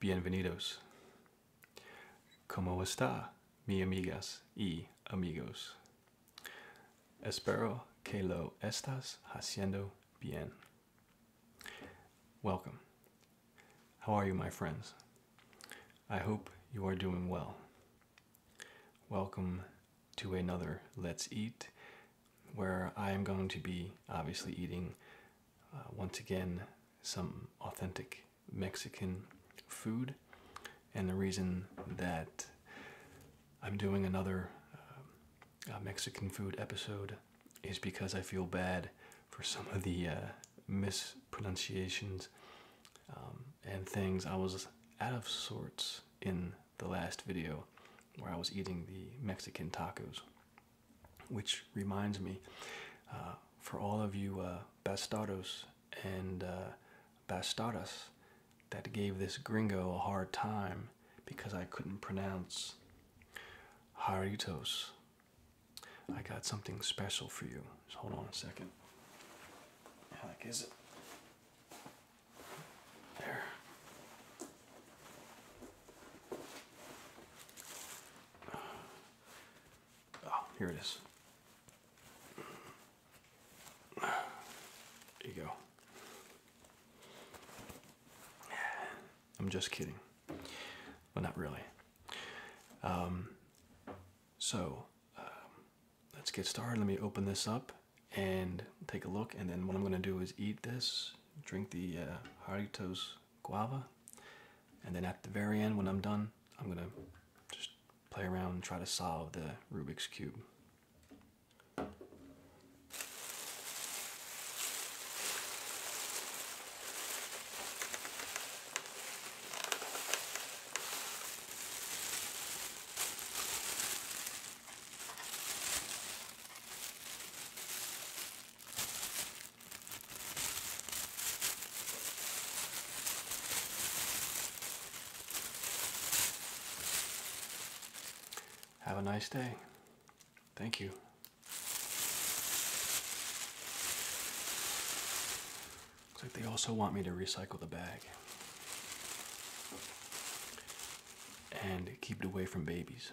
Bienvenidos. ¿Cómo está, mi amigas y amigos? Espero que lo estás haciendo bien. Welcome. How are you, my friends? I hope you are doing well. Welcome to another Let's Eat, where I am going to be obviously eating uh, once again, some authentic Mexican food. And the reason that I'm doing another uh, uh, Mexican food episode is because I feel bad for some of the mispronunciations um, and things. I was out of sorts in the last video where I was eating the Mexican tacos which reminds me uh, for all of you uh, bastados and uh, bastadas that gave this gringo a hard time because I couldn't pronounce Haritos. I got something special for you. Just hold on a second. How like is it? There. Oh, here it is. There you go. I'm just kidding. Well, not really. Um, so, um, let's get started. Let me open this up and take a look. And then what I'm going to do is eat this, drink the uh, Haritos guava. And then at the very end, when I'm done, I'm gonna just play around and try to solve the Rubik's Cube. Have a nice day. Thank you. Looks like they also want me to recycle the bag and keep it away from babies.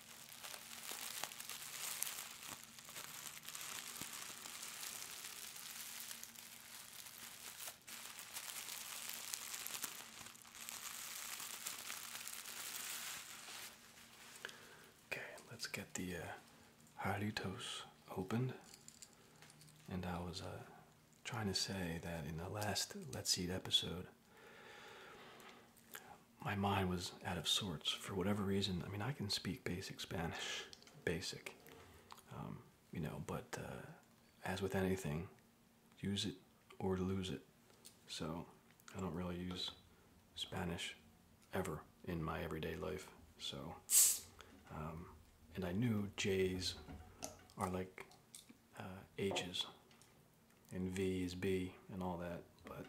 Okay, let's get the uh, Jarritos opened. And I was uh, trying to say that in the last Let's Eat episode, my mind was out of sorts for whatever reason. I mean, I can speak basic Spanish, basic, um, you know, but uh, as with anything, use it or lose it. So I don't really use Spanish ever in my everyday life. So, um, and I knew Jays are like ages. Uh, and V is B and all that, but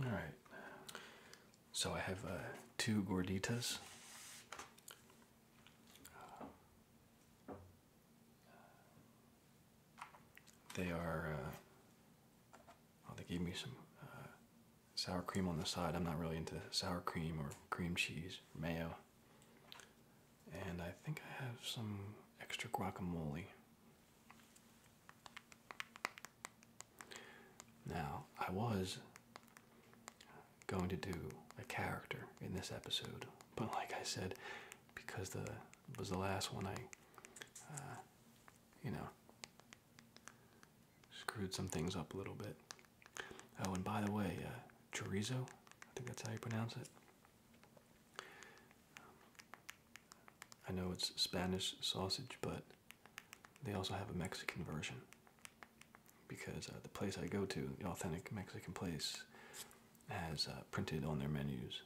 all right. So I have uh, two gorditas. they are uh, they gave me some uh, sour cream on the side. I'm not really into sour cream or cream cheese, mayo. And I think I have some extra guacamole. Now, I was going to do a character in this episode, but like I said, because the was the last one I uh, you know, screwed some things up a little bit. Oh, and by the way, uh, chorizo, I think that's how you pronounce it. I know it's Spanish sausage, but they also have a Mexican version because uh, the place I go to, the authentic Mexican place, has uh, printed on their menus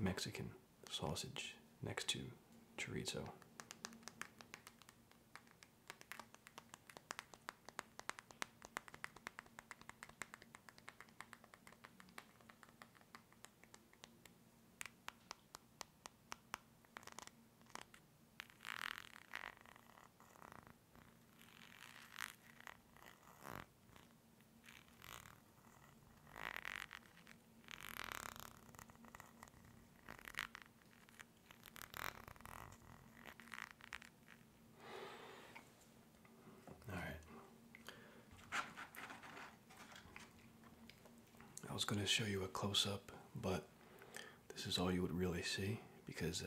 Mexican sausage next to chorizo. All right. I was going to show you a close up, but this is all you would really see because uh,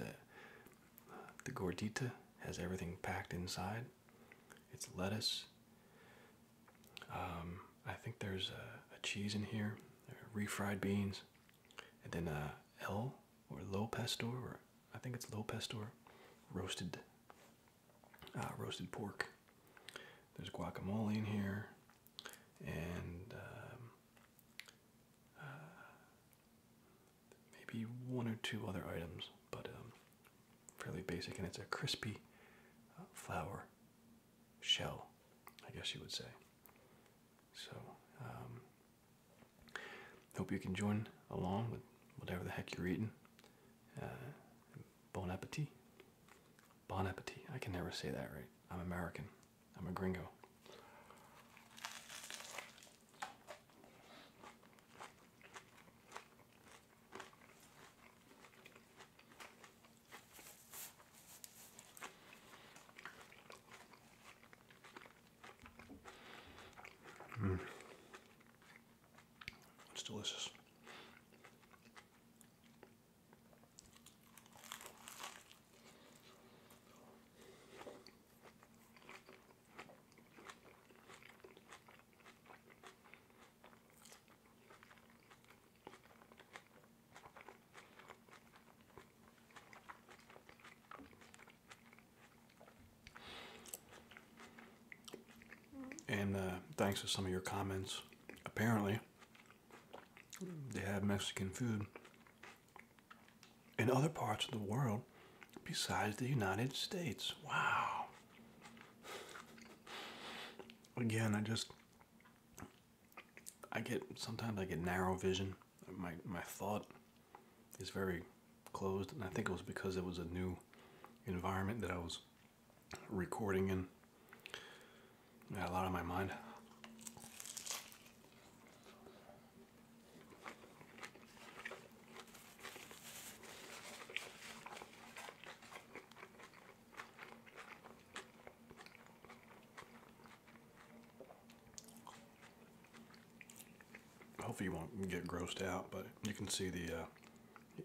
the gordita has everything packed inside. It's lettuce, um, I think there's a, cheese in here, uh, refried beans, and then a L or low pastor, or I think it's low pastor, roasted, uh, roasted pork. There's guacamole in here, and um, uh, maybe one or two other items, but um, fairly basic, and it's a crispy uh, flour shell, I guess you would say. So, um, hope you can join along with whatever the heck you're eating. Uh, bon appetit. Bon appetit. I can never say that right. I'm American. I'm a gringo. Mm. It's delicious. And uh, thanks to some of your comments, apparently they have Mexican food in other parts of the world besides the United States. Wow again, I just I get sometimes I get narrow vision. My my thought is very closed, and I think it was because it was a new environment that I was recording in. I a lot on my mind. Hopefully you won't get grossed out, but you can see the uh,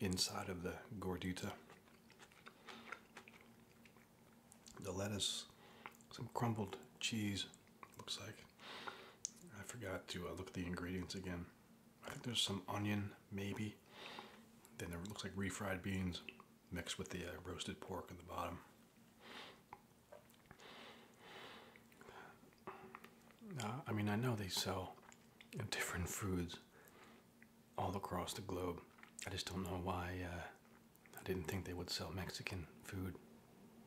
inside of the gordita. The lettuce, some crumbled cheese, looks like. I forgot to uh, look at the ingredients again. I think there's some onion, maybe. Then there looks like refried beans mixed with the uh, roasted pork in the bottom. Uh, I mean, I know they sell different foods all across the globe. I just don't know why uh, I didn't think they would sell Mexican food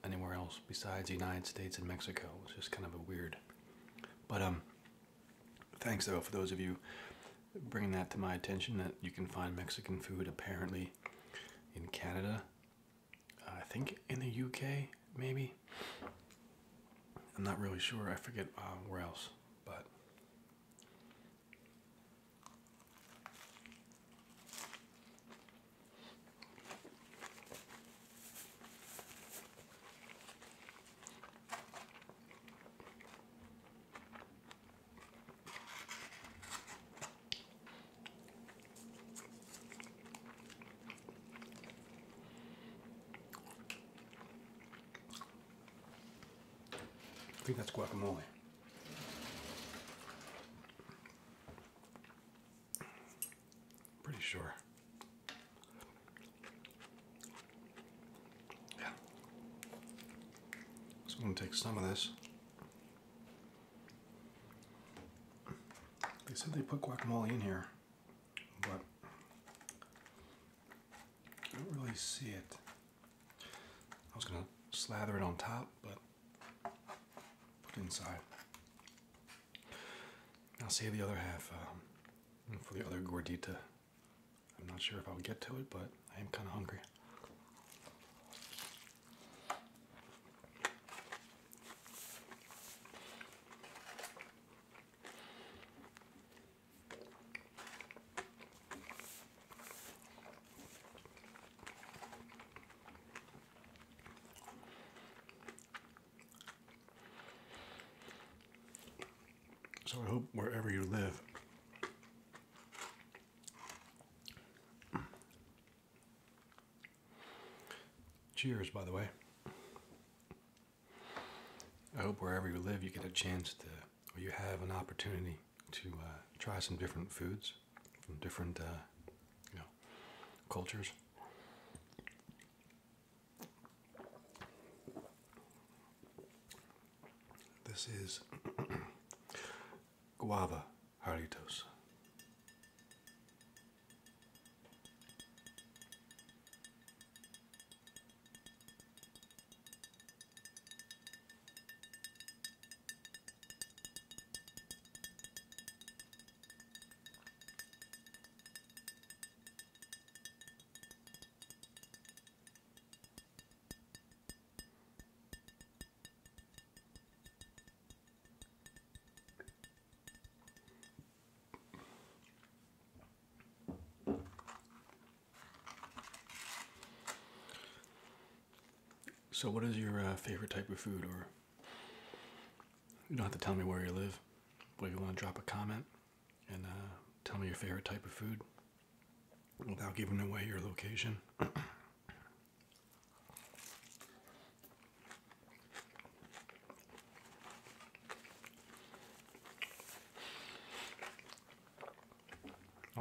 anywhere else besides the United States and Mexico. It's just kind of a weird. But um, Thanks, though, for those of you bringing that to my attention that you can find Mexican food apparently in Canada. I think in the UK, maybe. I'm not really sure. I forget uh, where else, but. I think that's guacamole. Pretty sure. Yeah. So I'm going to take some of this. They said they put guacamole in here, but I don't really see it. I was going to slather it on top, but put inside. I'll save the other half um, for the other gordita I'm not sure if I'll get to it, but I am kind of hungry. So I hope wherever you live, cheers, by the way. I hope wherever you live, you get a chance to, you have an opportunity to uh, try some different foods from different, uh, you know, cultures. This is guava Haritos. So, what is your uh, favorite type of food? Or you don't have to tell me where you live, but you want to drop a comment and uh, tell me your favorite type of food without giving away your location. I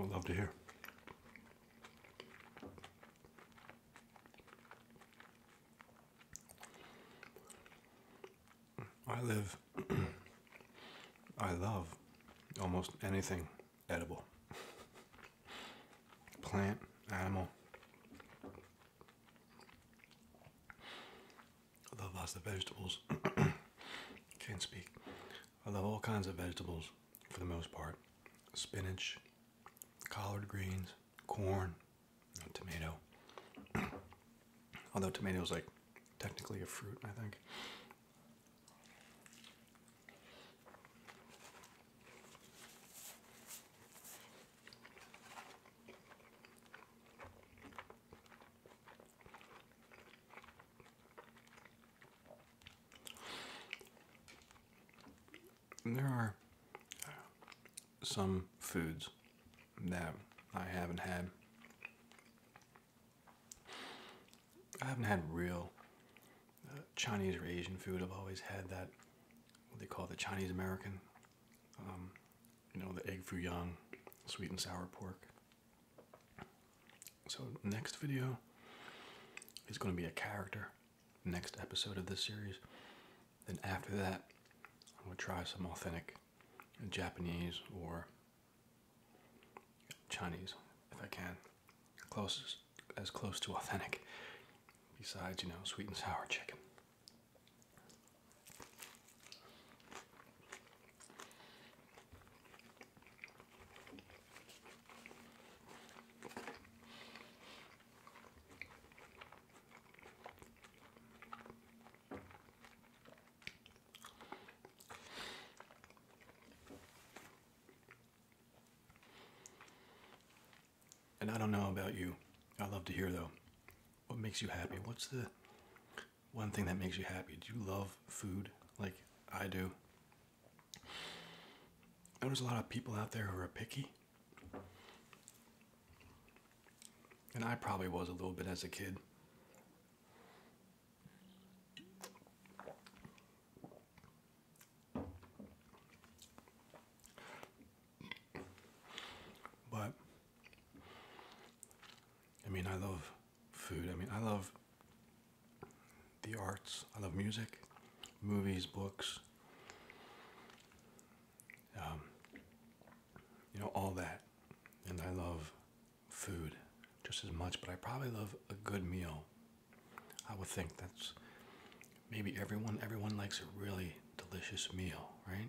would love to hear. I live, I love almost anything edible plant, animal. I love lots of vegetables. Can't speak. I love all kinds of vegetables for the most part spinach, collard greens, corn, not tomato. Although tomato is like technically a fruit, I think. there are uh, some foods that I haven't had. I haven't had real uh, Chinese or Asian food. I've always had that what they call the Chinese American. Um, you know, the egg foo young, sweet and sour pork. So next video is going to be a character. Next episode of this series. Then after that, I'm gonna try some authentic Japanese or Chinese, if I can, closest as close to authentic. Besides, you know, sweet and sour chicken. And I don't know about you. I love to hear though. What makes you happy? What's the one thing that makes you happy? Do you love food like I do? I know there's a lot of people out there who are picky. And I probably was a little bit as a kid. But I mean, I love food. I mean, I love the arts. I love music, movies, books. Um, you know, all that. And I love food just as much, but I probably love a good meal. I would think that's maybe everyone, everyone likes a really delicious meal, right?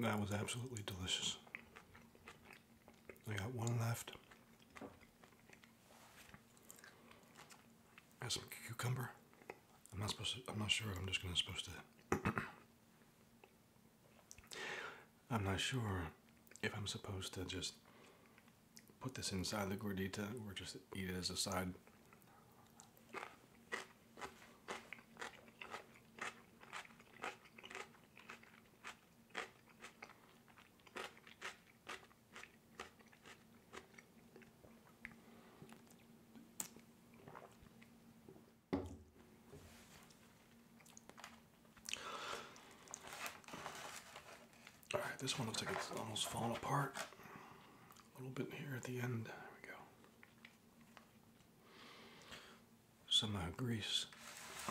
That was absolutely delicious. I got one left. Got some cucumber. I'm not supposed I'm not sure. I'm just gonna supposed to I'm not sure if I'm supposed to just put this inside the gordita or just eat it as a side. All right, this one looks like it's almost fallen apart. A little bit here at the end. There we go. Some uh, grease.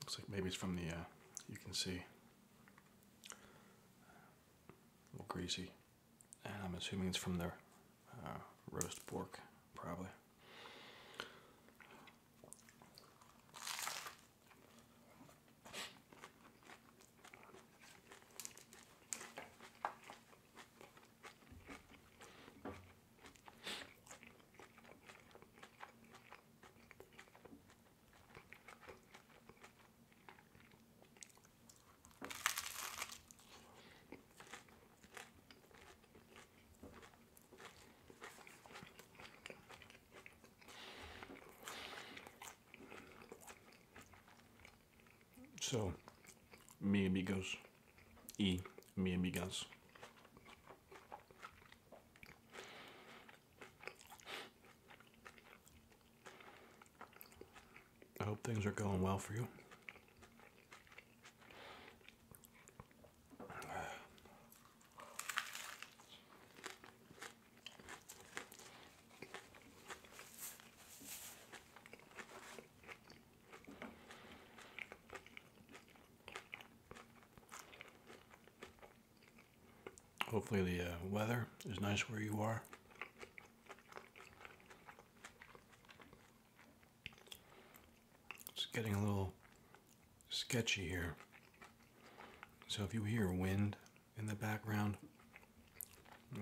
looks like maybe it's from the. Uh, you can see. A little greasy and I'm assuming it's from their uh, roast pork, probably. So, mi amigos y mi amigas. I hope things are going well for you. Hopefully the uh, weather is nice where you are. It's getting a little sketchy here. So if you hear wind in the background,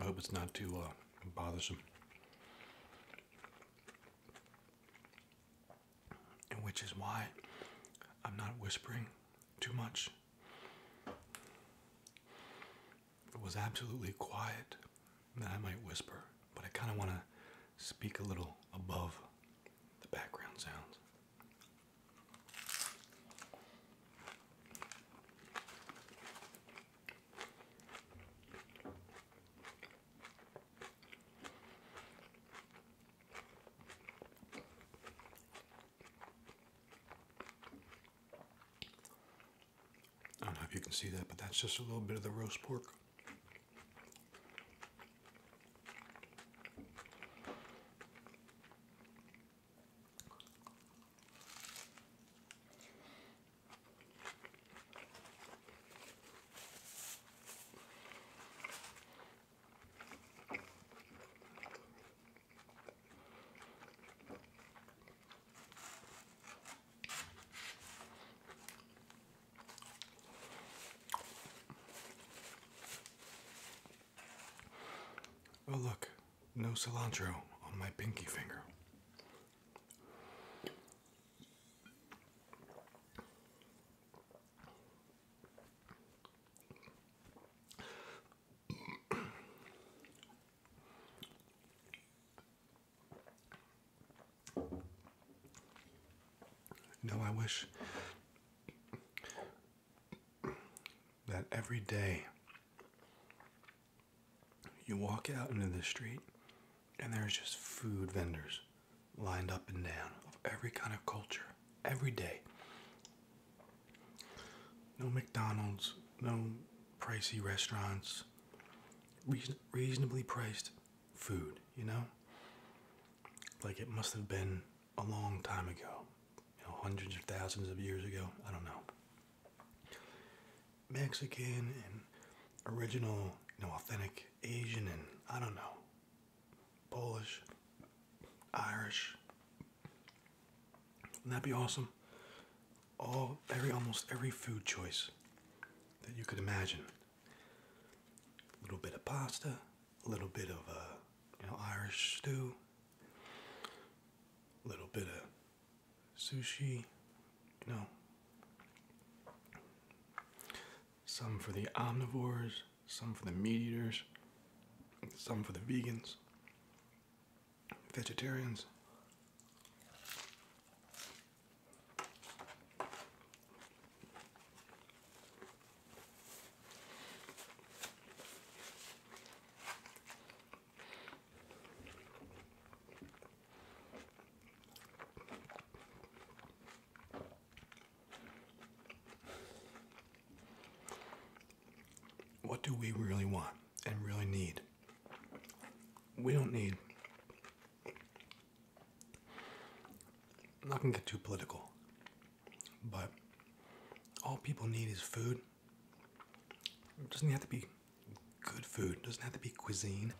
I hope it's not too uh, bothersome. And which is why I'm not whispering too much it was absolutely quiet, then I might whisper, but I kind of want to speak a little above the background sounds. I don't know if you can see that, but that's just a little bit of the roast pork. Oh, look, no cilantro on my pinky finger. No, I wish that every day you walk out into the street and there's just food vendors lined up and down of every kind of culture every day. No McDonald's, no pricey restaurants, reasonably priced food, you know? Like it must have been a long time ago, you know, hundreds of thousands of years ago. I don't know. Mexican and original, you know, authentic Asian and I don't know, Polish, Irish, wouldn't that be awesome? All every almost every food choice that you could imagine. A little bit of pasta, a little bit of uh, you know Irish stew, a little bit of sushi, you know. Some for the omnivores, some for the meat eaters, some for the vegans vegetarians. What do we really want? and really need. We don't need. I'm not need not going to get too political, but all people need is food. doesn't have to be good food, doesn't have to be cuisine.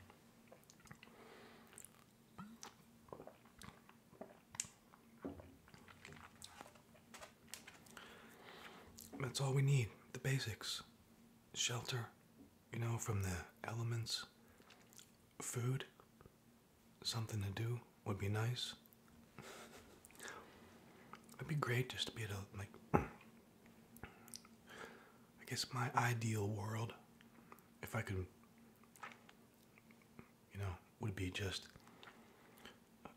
That's all we need, the basics shelter, you know, from the elements, food, something to do would be nice. It'd be great just to be at a, like, I guess my ideal world, if I could, you know, would be just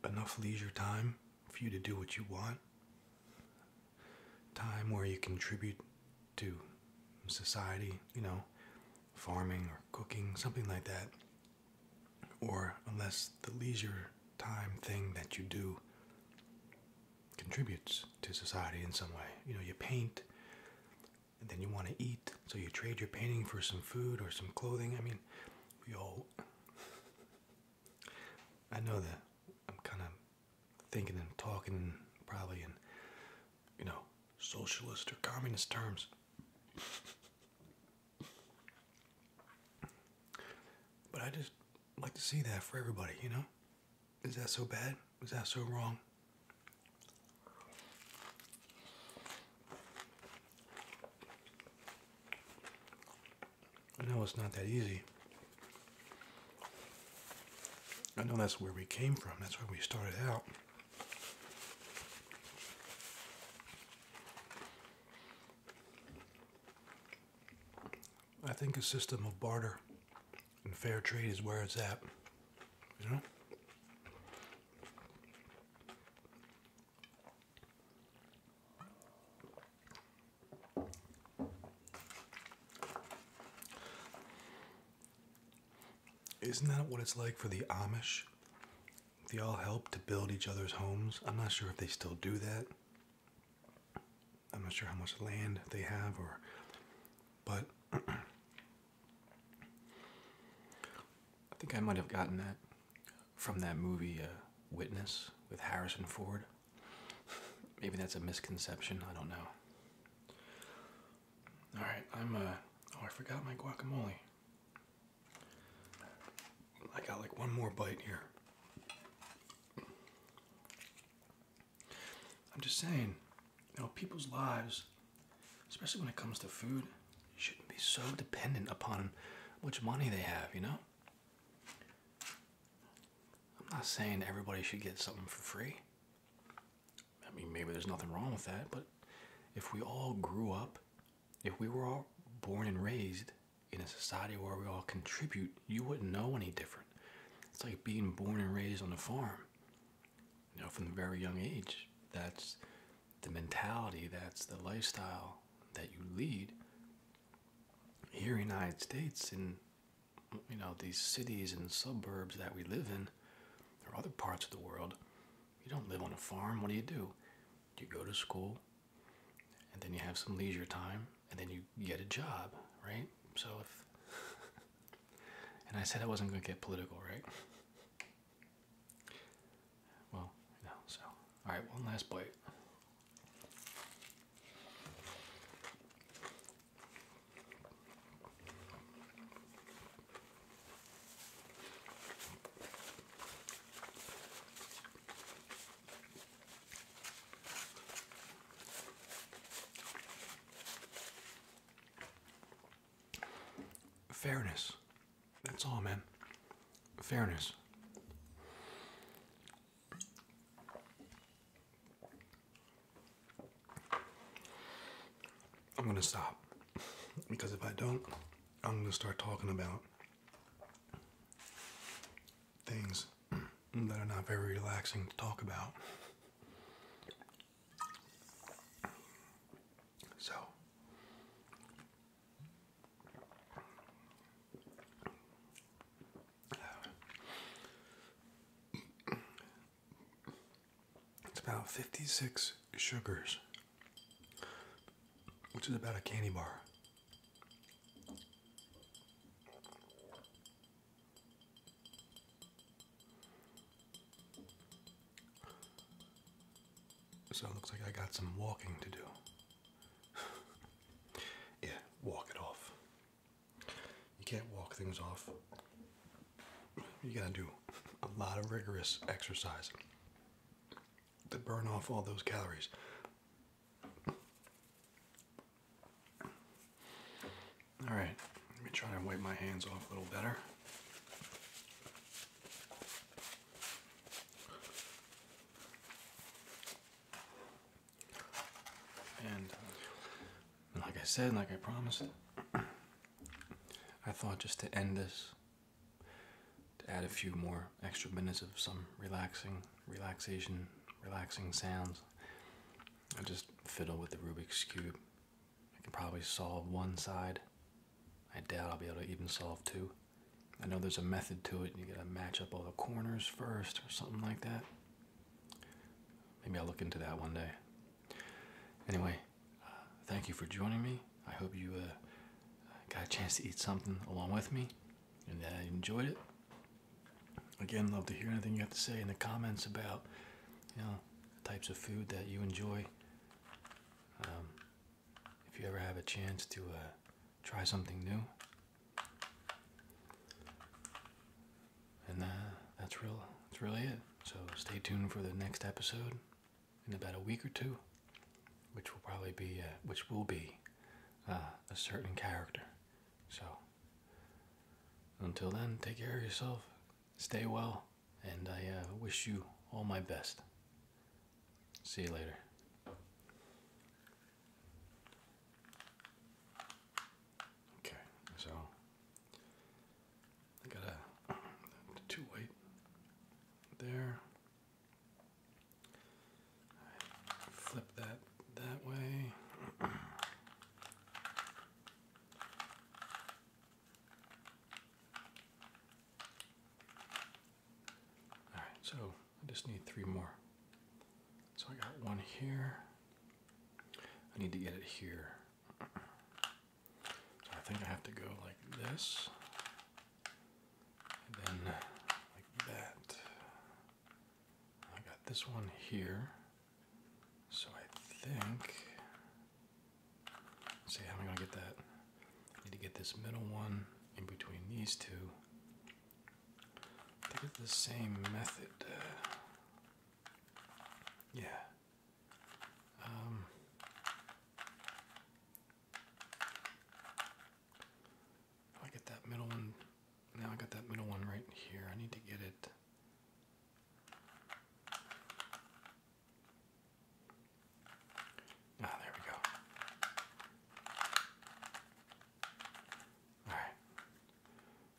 enough leisure time for you to do what you want, time where you contribute to society, you know, farming or cooking, something like that. Or unless the leisure time thing that you do contributes to society in some way. You know, you paint and then you want to eat, so you trade your painting for some food or some clothing. I mean, we all I know that I'm kind of thinking and talking probably in, you know, socialist or communist terms. but I just like to see that for everybody, you know? Is that so bad? Is that so wrong? I know it's not that easy. I know that's where we came from. That's where we started out. I think a system of barter and fair trade is where it's at. You know? Isn't that what it's like for the Amish? They all help to build each other's homes. I'm not sure if they still do that. I'm not sure how much land they have or but I think I might have gotten that from that movie uh, Witness with Harrison Ford. Maybe that's a misconception. I don't know. All right, I'm. Uh, oh, I forgot my guacamole. I got like one more bite here. I'm just saying, you know, people's lives, especially when it comes to food, shouldn't be so dependent upon much money they have. You know, I'm not saying everybody should get something for free. I mean, maybe there's nothing wrong with that, but if we all grew up, if we were all born and raised in a society where we all contribute, you wouldn't know any different. It's like being born and raised on a farm, you know, from a very young age. That's the mentality, that's the lifestyle that you lead here in the United States, in you know these cities and suburbs that we live in, or other parts of the world, you don't live on a farm. What do you do? You go to school, and then you have some leisure time, and then you get a job, right? So if and I said I wasn't going to get political, right? Well, you know. So all right, one last bite. Fairness. That's all, man. Fairness. I'm gonna stop because if I don't, I'm gonna start talking about things that are not very relaxing to talk about. So, it's about 56 sugars, which is about a candy bar. So it looks like I got some walking to do. yeah, walk it off. You can't walk things off. You gotta do a lot of rigorous exercise to burn off all those calories. Alright, let me try to wipe my hands off a little better. And, like I said, like I promised, I thought just to end this, to add a few more extra minutes of some relaxing, relaxation, relaxing sounds. I just fiddle with the Rubik's Cube. I can probably solve one side. I doubt I'll be able to even solve two. I know there's a method to it. You gotta match up all the corners first or something like that. Maybe I'll look into that one day. Anyway, uh, thank you for joining me. I hope you uh, got a chance to eat something along with me and that you enjoyed it. Again, love to hear anything you have to say in the comments about, you know, types of food that you enjoy. Um, if you ever have a chance to uh, try something new, and uh, that's real. That's really it. So stay tuned for the next episode in about a week or two, which will probably be, uh, which will be, uh, a certain character. So until then, take care of yourself, stay well, and I uh, wish you all my best. See you later. Okay, so I got a two weight there. flip that that way. All right, so I just need three more. So I got one here. I need to get it here. So I think I have to go like this. And then like that. I got this one here. So I think, see how i am gonna get that? I need to get this middle one in between these two. They get the same method. Uh, yeah. Um, I get that middle one. Now I got that middle one right here. I need to get it. Ah, there we go. All right.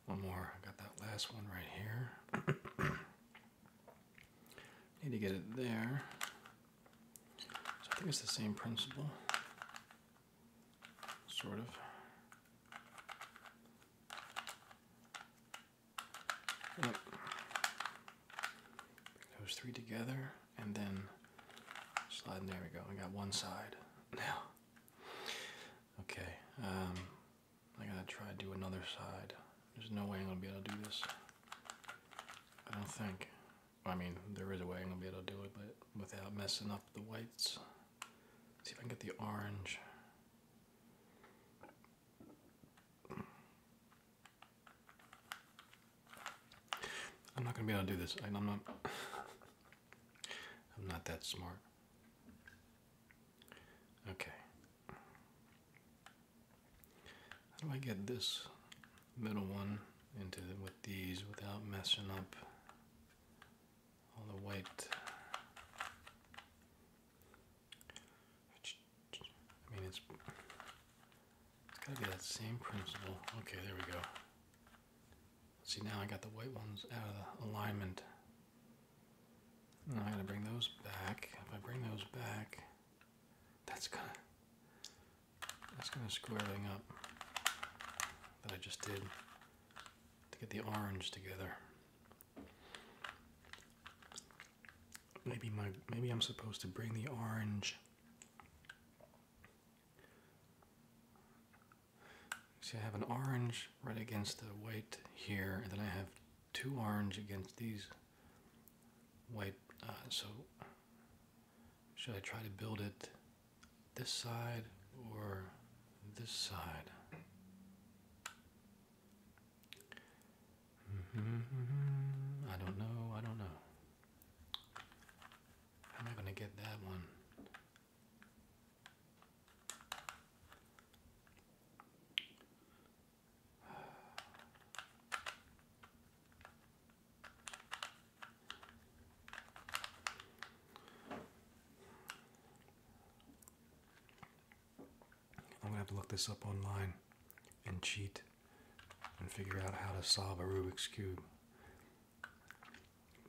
One more. I got that last one right here. Need to get it there. So I think it's the same principle. Sort of. Yep. those three together and then slide. there we go. I got one side now. Okay. Um, I gotta try to do another side. There's no way I'm gonna be able to do this. I don't think. I mean, there is a way I'm gonna be able to do it, but without messing up the whites. see if I can get the orange. I'm not gonna be able to do this. I'm not. I'm not that smart. Okay. How do I get this middle one into with these without messing up all the white? I mean, it's it's gotta be that same principle. Okay, there we go see, now I got the white ones out of the alignment. Now I gotta bring those back. If I bring those back, that's gonna that's gonna square everything up that I just did to get the orange together. Maybe my maybe I'm supposed to bring the orange See, I have an orange right against the white here, and then I have two orange against these white. Uh, so, should I try to build it this side or this side? Mm-hmm, mm-hmm. I don't know, I don't know. I'm not gonna get that one. I'm gonna have to look this up online and cheat and figure out how to solve a Rubik's Cube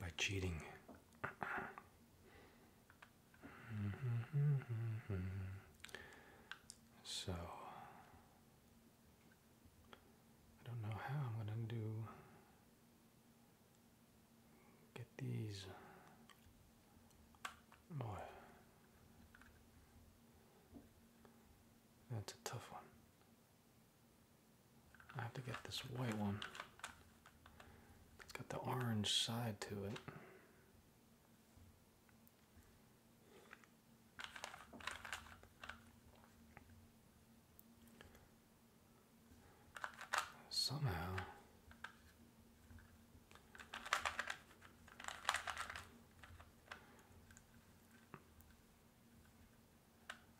by cheating. so I don't know how I'm gonna do get these boy that's a tough one I have to get this white one. It's got the orange side to it. Somehow.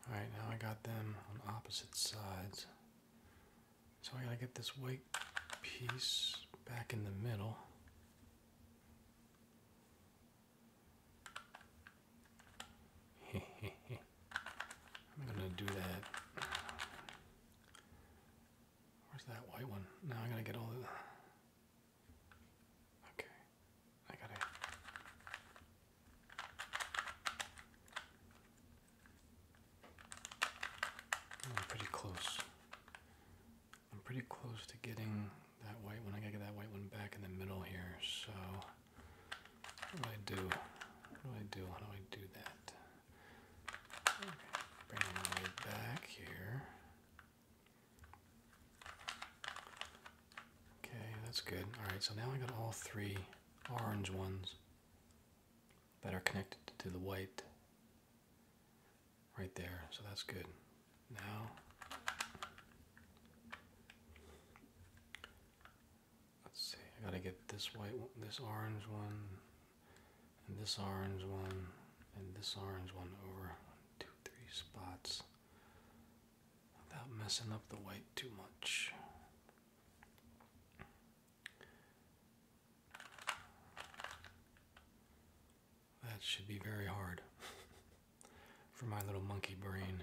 Alright, now I got them on opposite sides. So I gotta get this white piece back in the middle. I'm gonna do that. Where's that white one? Now I gotta get all the Okay, I got it. I'm pretty close. I'm pretty close to getting that white one. I gotta get that white one back in the middle here. So, what do I do? What do I do? How do I do that? Bring it back here. Okay, that's good. Alright, so now I got all three orange ones that are connected to the white right there, so that's good. Now, let's see, I gotta get this white one, this orange one, and this orange one, and this orange one over one, two, three spots without messing up the white too much. That should be very hard for my little monkey brain.